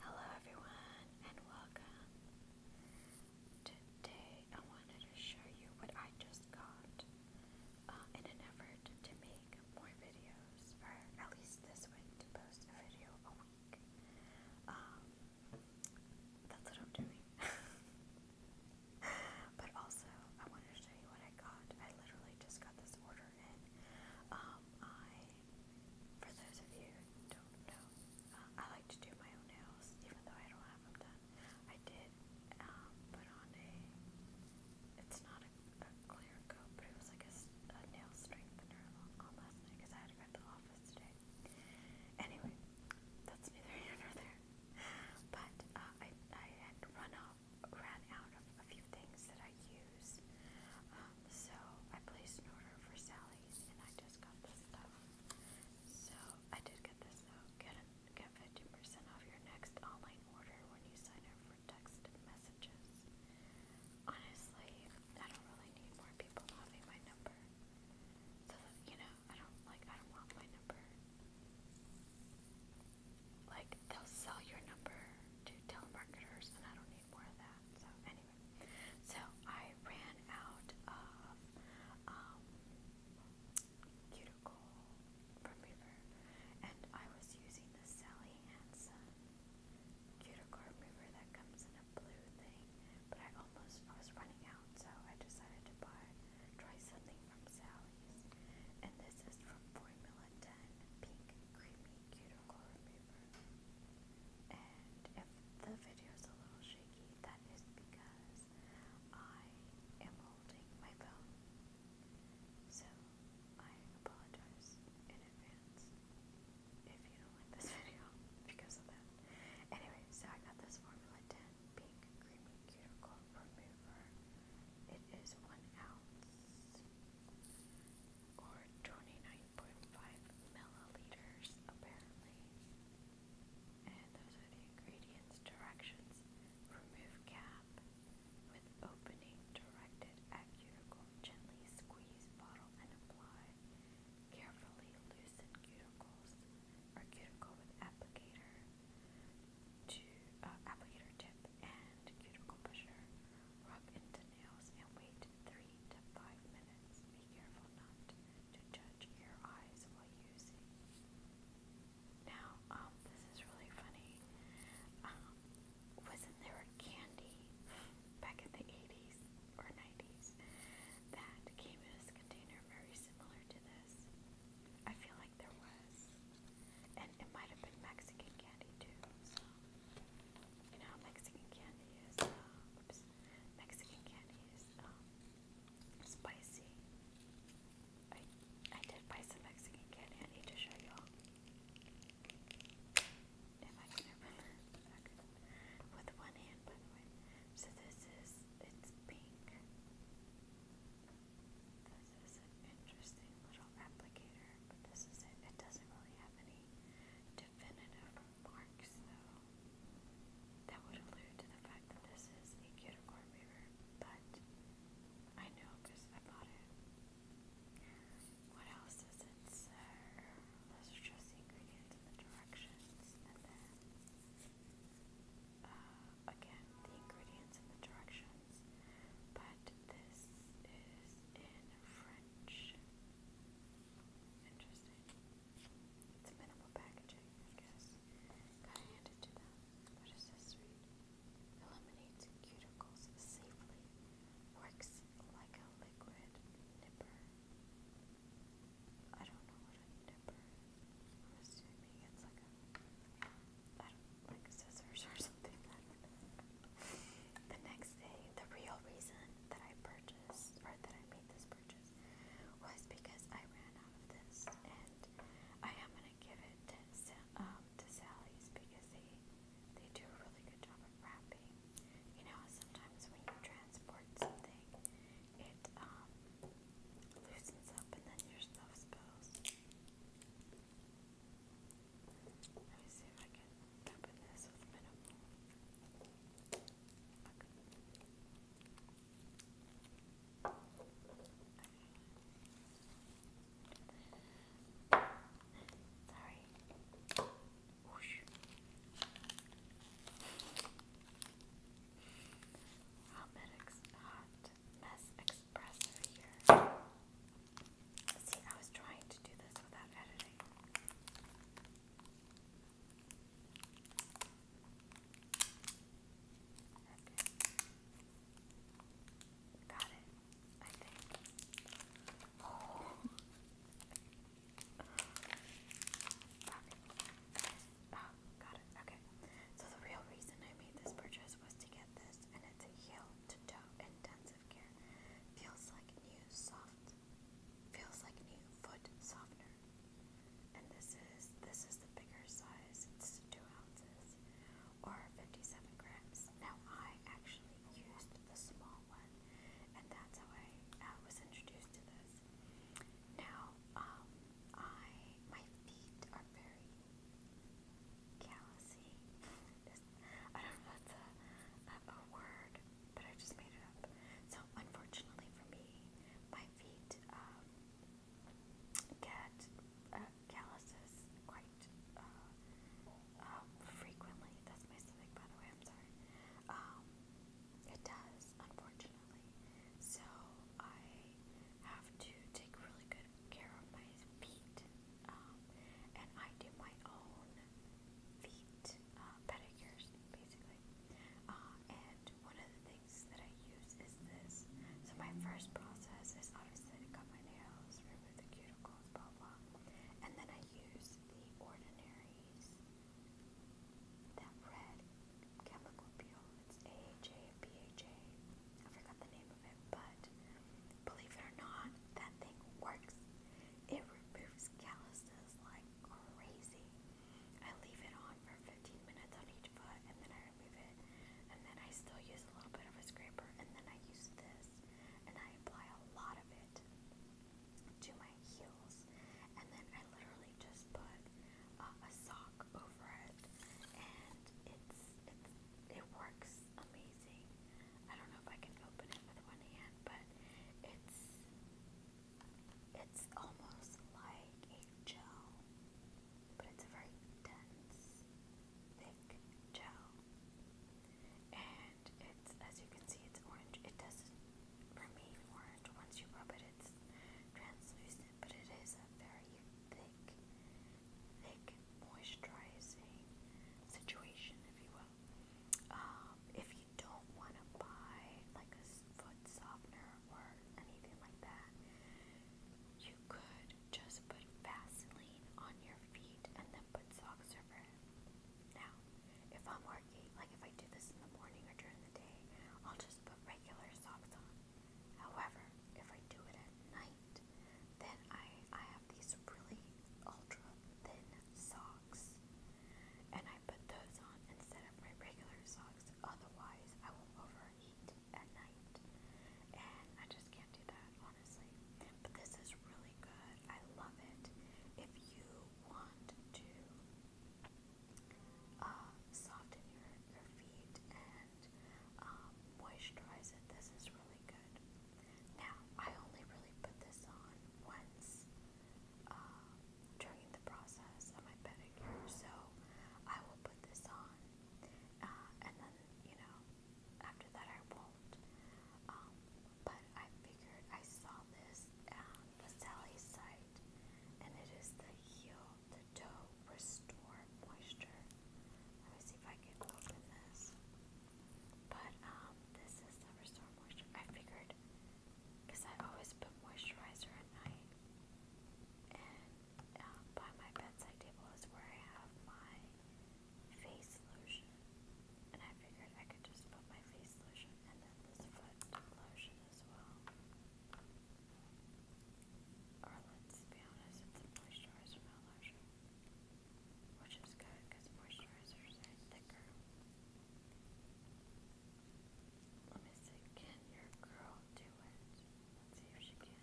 Hello everyone and welcome. Today I wanted to show you what I just got uh, in an effort to make more videos, or at least this week post a video a week. Um, that's what I'm doing. but also I wanted to show you what I got. I literally just got this order in. Um, I for those of you don't know, uh, I like to do my own nails, even though I don't have them done. I did um, put on a, it's not a, clear coat, but it was like a, nail strengthener last night because I had to go to the office today. Anyway, that's neither here nor there. But uh, I, I had run off, ran out of a few things that I used shoes. Um, so I placed an order for Sally's and I just got this stuff. So I did get this though. Get a, get 15% off your next online order when you sign up for text messages. Honestly, I don't really need more people having my number. So that, you know, I don't like I don't want my number. Like they'll sell your number to telemarketers, and I don't need more of that. So anyway, so I ran out of um, cuticle from Reaver, and I was using the Sally Hansen cuticle remover that comes in a blue thing, but I almost I was running out, so I decided to buy try something from Sally's, and this is from Formula Valentine Pink Creamy Cuticle Remover. And if the video is a little shaky, that is because I am holding my phone. So I apologize in advance if you don't like this video because of that. Anyway, so I got this Formula 10 Pink Creamy Cuticle Remover. It is one ounce or 29.5 milliliters apparently. And those are the ingredients directions. Remove cap with opening directed at cuticle. Gently squeeze bottle and apply. Carefully loosen cuticles or cuticle with applicator to uh, applicator tip and cuticle pusher. Rub into nails and wait 3 to 5 minutes. Be careful not to judge your eyes while using. Now, um, this is really funny. Um, wasn't there candy back in the 80s or 90s that came in this container very similar to this? I feel like there was. And it might have been Mexican candy too, you know Mexican candy is um, oops, Mexican candy is um, spicy. I I did buy some Mexican candy, I need to show y'all. If I can remember with one hand by the way. So this is it's pink. This is an interesting little applicator, but this is it. It doesn't really have any definitive marks, though. That would allude to the fact that this is a unicorn beaver, but I know because I bought it. What else does it serve? Those are just the ingredients and the directions, and then uh, again, the ingredients and the directions sense, but this is in French. Interesting. It's minimal packaging, I guess. Gotta hand to them. What this Eliminates cuticles safely. Works like a liquid nipper. I don't know what a nipper I'm assuming it's like I don't like scissors or something. the next day, the real reason that I purchased or that I made this purchase was because I ran out of this, and I am gonna give it to um, Sally's because they they do a really good job of wrapping. You know, sometimes when you transport something, it um, loosens up, and then your stuff spills. Let me see if I can open this with minimal. Okay. Sorry. Whoosh. How mess expressor here. See, I was trying to do this without editing. Okay. Got it, I think. Oh. Sorry. Oh, got it. Okay. So the real reason I made this purchase was to get this, and it's a heel to toe intensive care. Feels like new soft. Feels like new foot softener. And this is this is the bigger size. It's two ounces or 57 grams. Now I actually used the small one, and that's how I uh, was introduced to this. Now, um, I my feet are very callousy. I don't know if that's a, a, a word, but I just made it up. So unfortunately for me, my feet um, get uh, calluses quite uh, um, frequently. That's my stomach, by the way. I'm sorry. Um, it does, unfortunately. So I have to take really good care of my feet. Um, and I do my own feet uh, pedicures, basically. Uh, and one of the things that I use is this. So my first process is obviously to cut my nails, remove the cuticles, blah blah. And then I use the Ordinaries, that red chemical peel. It's AHA, forgot the name of it, but believe it or not, that thing works. It removes calluses like crazy. I leave it on for 15 minutes on each foot, and then I remove it. And then I still use a little bit of a scraper, and then I use this, and I apply a lot of it to my heels and then I literally just put uh, a sock over it, and it's it works amazing. I don't know if I can open it with one hand, but it's it's almost like a gel, but it's a very dense, thick gel. And it's, as you can see, it's orange. It doesn't, for orange. Once you rub it, it's translucent but it is a very thick, thick, moisturizing situation, if you will. Um, if you don't want to buy like a foot softener or anything like that, you could just put Vaseline on your feet and then put socks over it. Now, if I'm working, like if I do this in the morning or during the day, I'll just put regular socks on. However, if I do it at night, then I, I have these really ultra thin socks. And I put those on instead of my regular socks. Otherwise, I will overheat at night. And I just can't do that, honestly. But this is really good. I love it. If you want to uh, soften your, your feet and um, moisturize it. This is really good. Now, I only really put this on once uh, during the process of my pedicure, so I will put this on uh, and then, you know, after that I won't. Um, but I figured I saw this uh, Vasali's site, and it is the heel, the restore moisture. Let me see if I can open this. But um, this is the restore moisture. I figured, because I always put moisturizer at night, and uh, by my bedside table is where I have my face lotion. And I figured I could just put my face lotion and then this foot lotion as well. Or let's be honest, it's a moisturizer, not lotion. Which is good because moisturizers are thicker. Let me see, can your girl do it? Let's see if she can.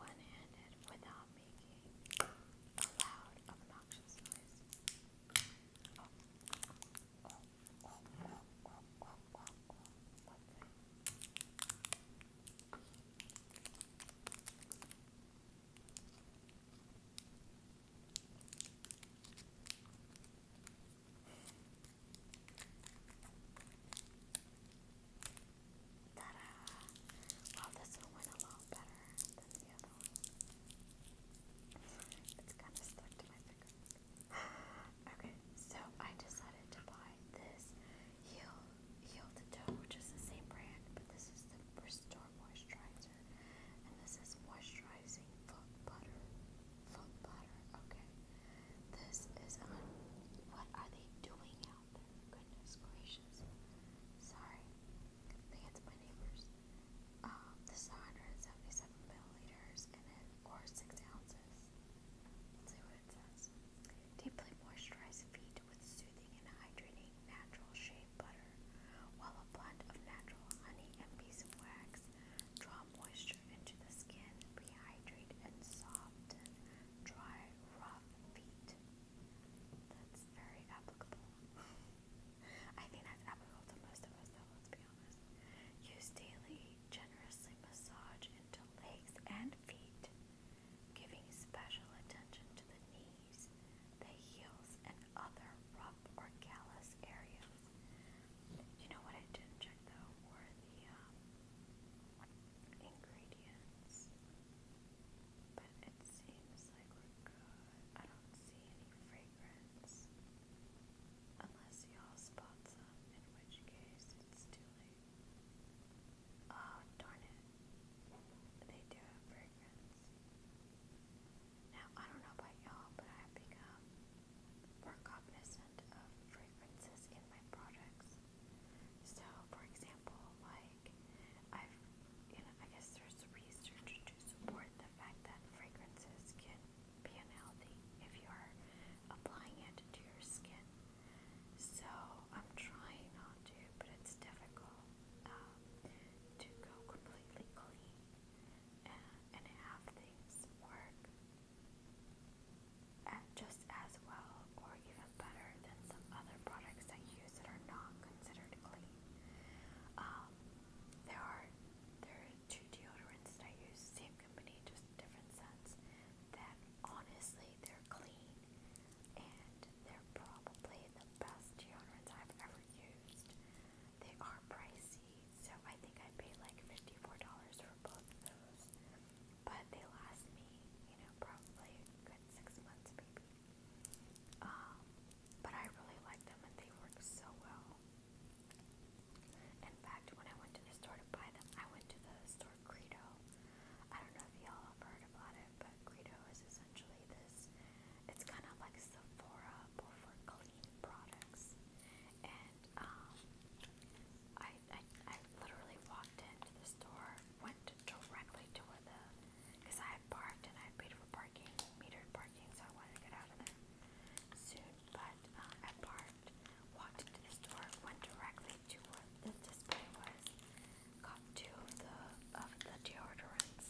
One handed without making a loud, obnoxious noise. Oh. Oh. Ta-da! this one went a lot better than the other one. It's kind Okay, so I decided to buy this Heal, Heal to Toe, which is the same brand, but this is the Restore Moisturizer. And this is Moisturizing Foot Butter. Foot Butter, okay. This is on. Um, what are they doing out there? Goodness gracious. Sorry it's my neighbor's. Um, this is 177 milliliters, and it, or 6 ounces. Let's see what it says. Deeply moisturize feet with soothing and hydrating natural shea butter, while a blend of natural honey and beeswax draw moisture into the skin, rehydrate, and soften dry, rough feet. That's very applicable. I think that's applicable to most of us, though, let's be honest. Use daily, generously massage into legs and feet, giving special attention to the knees, the heels, and other rough or callous areas. You know what I didn't check, though, were the um, ingredients. But it seems like we're good. I don't see any fragrance. Unless y'all spot some, in which case it's too late. Oh, darn it. They do have fragrance. Now, I don't know about y'all, but I have become cognizant of fragrances in my products. So, for example, my like I've you know I guess there's research to support the fact that fragrances can be unhealthy if you're applying it to your skin. So I'm trying not to, but it's difficult um, to go completely clean and, have things work just as well or even better than some other products I use that are not considered clean. Um, there are there are two deodorants that I use, same company, just different scents. That honestly, they're clean, and they're probably the best deodorants I've ever used. They are pricey, so I think I paid like fifty-four dollars for both of those, but they last me, you know, probably a good six months, maybe. Um, but I really like them and they work so well. In fact, when I went to the store to buy them, I went to the store Credo. I don't know if y'all have heard about it, but Credo is essentially this it's kind of like Sephora but for clean products. And um I, I I literally walked into the store, went to directly to where the, because I had parked and I paid for parking, metered parking, so I wanted to get out of there soon. But um, I parked, walked into the store, went directly to where the display was, got two the of the deodorants,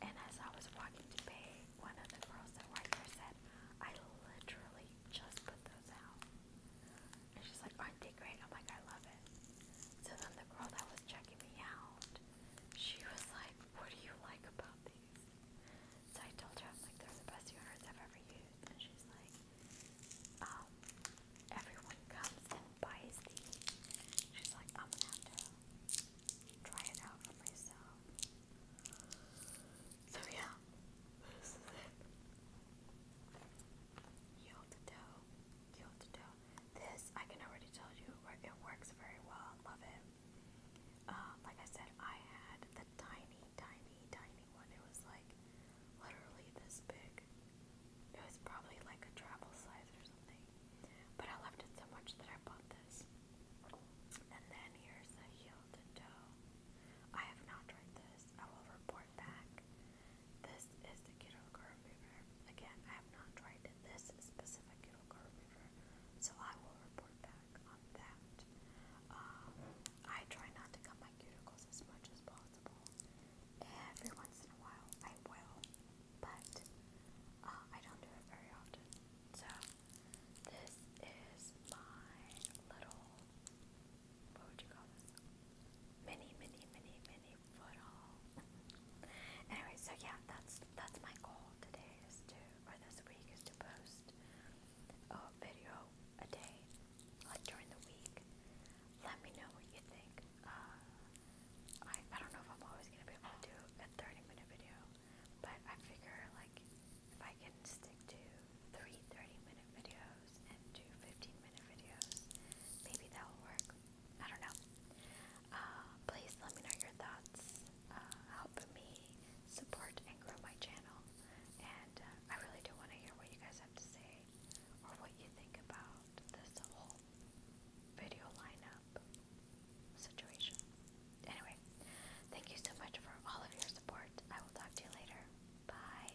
and as I was walking to pay, one of the girls that worked there said, "I literally just put those out." she's like, are great. I'm oh like, I love it. So then the girl that was checking me out, she was like, What do you like about these? So I told her, like, they're the best units I've ever used. And she's like, um, everyone comes and buys these. She's like, I'm gonna have to try it out for myself. So yeah, Yield the dough cute to do. This, I can already tell you, it works very well. Love it. Um, like I said, I had the tiny, tiny, tiny one. It was like literally this big. It was probably like a travel size or something. But I loved it so much that I bought this. And then here's the heel to toe. I have not tried this. I will report back this is the Kittle Remover. Again, I have not tried this specific Kittle Remover, so I will report back on that. Um, I try not to cut my cuticles as much as possible. Every once in a while, I will, but uh, I don't do it very often. So, this is my little. What would you call this? Mini, mini, mini, mini anyway, so yeah, that's that's my goal today is to, or this week is to post a video a day, like during the week. Let me know what you think. Uh, I I don't know if I'm always gonna be able to do a 30 minute video, but I figure like if I can stick to three 30 minute videos and do 15 minute videos. Maybe that will work. I don't know. Uh, please let me know your thoughts. Uh, help me support and grow my channel. And uh, I really do want to hear what you guys have to say or what you think about this whole video lineup situation. Anyway, thank you so much for all of your support. I will talk to you later. Bye.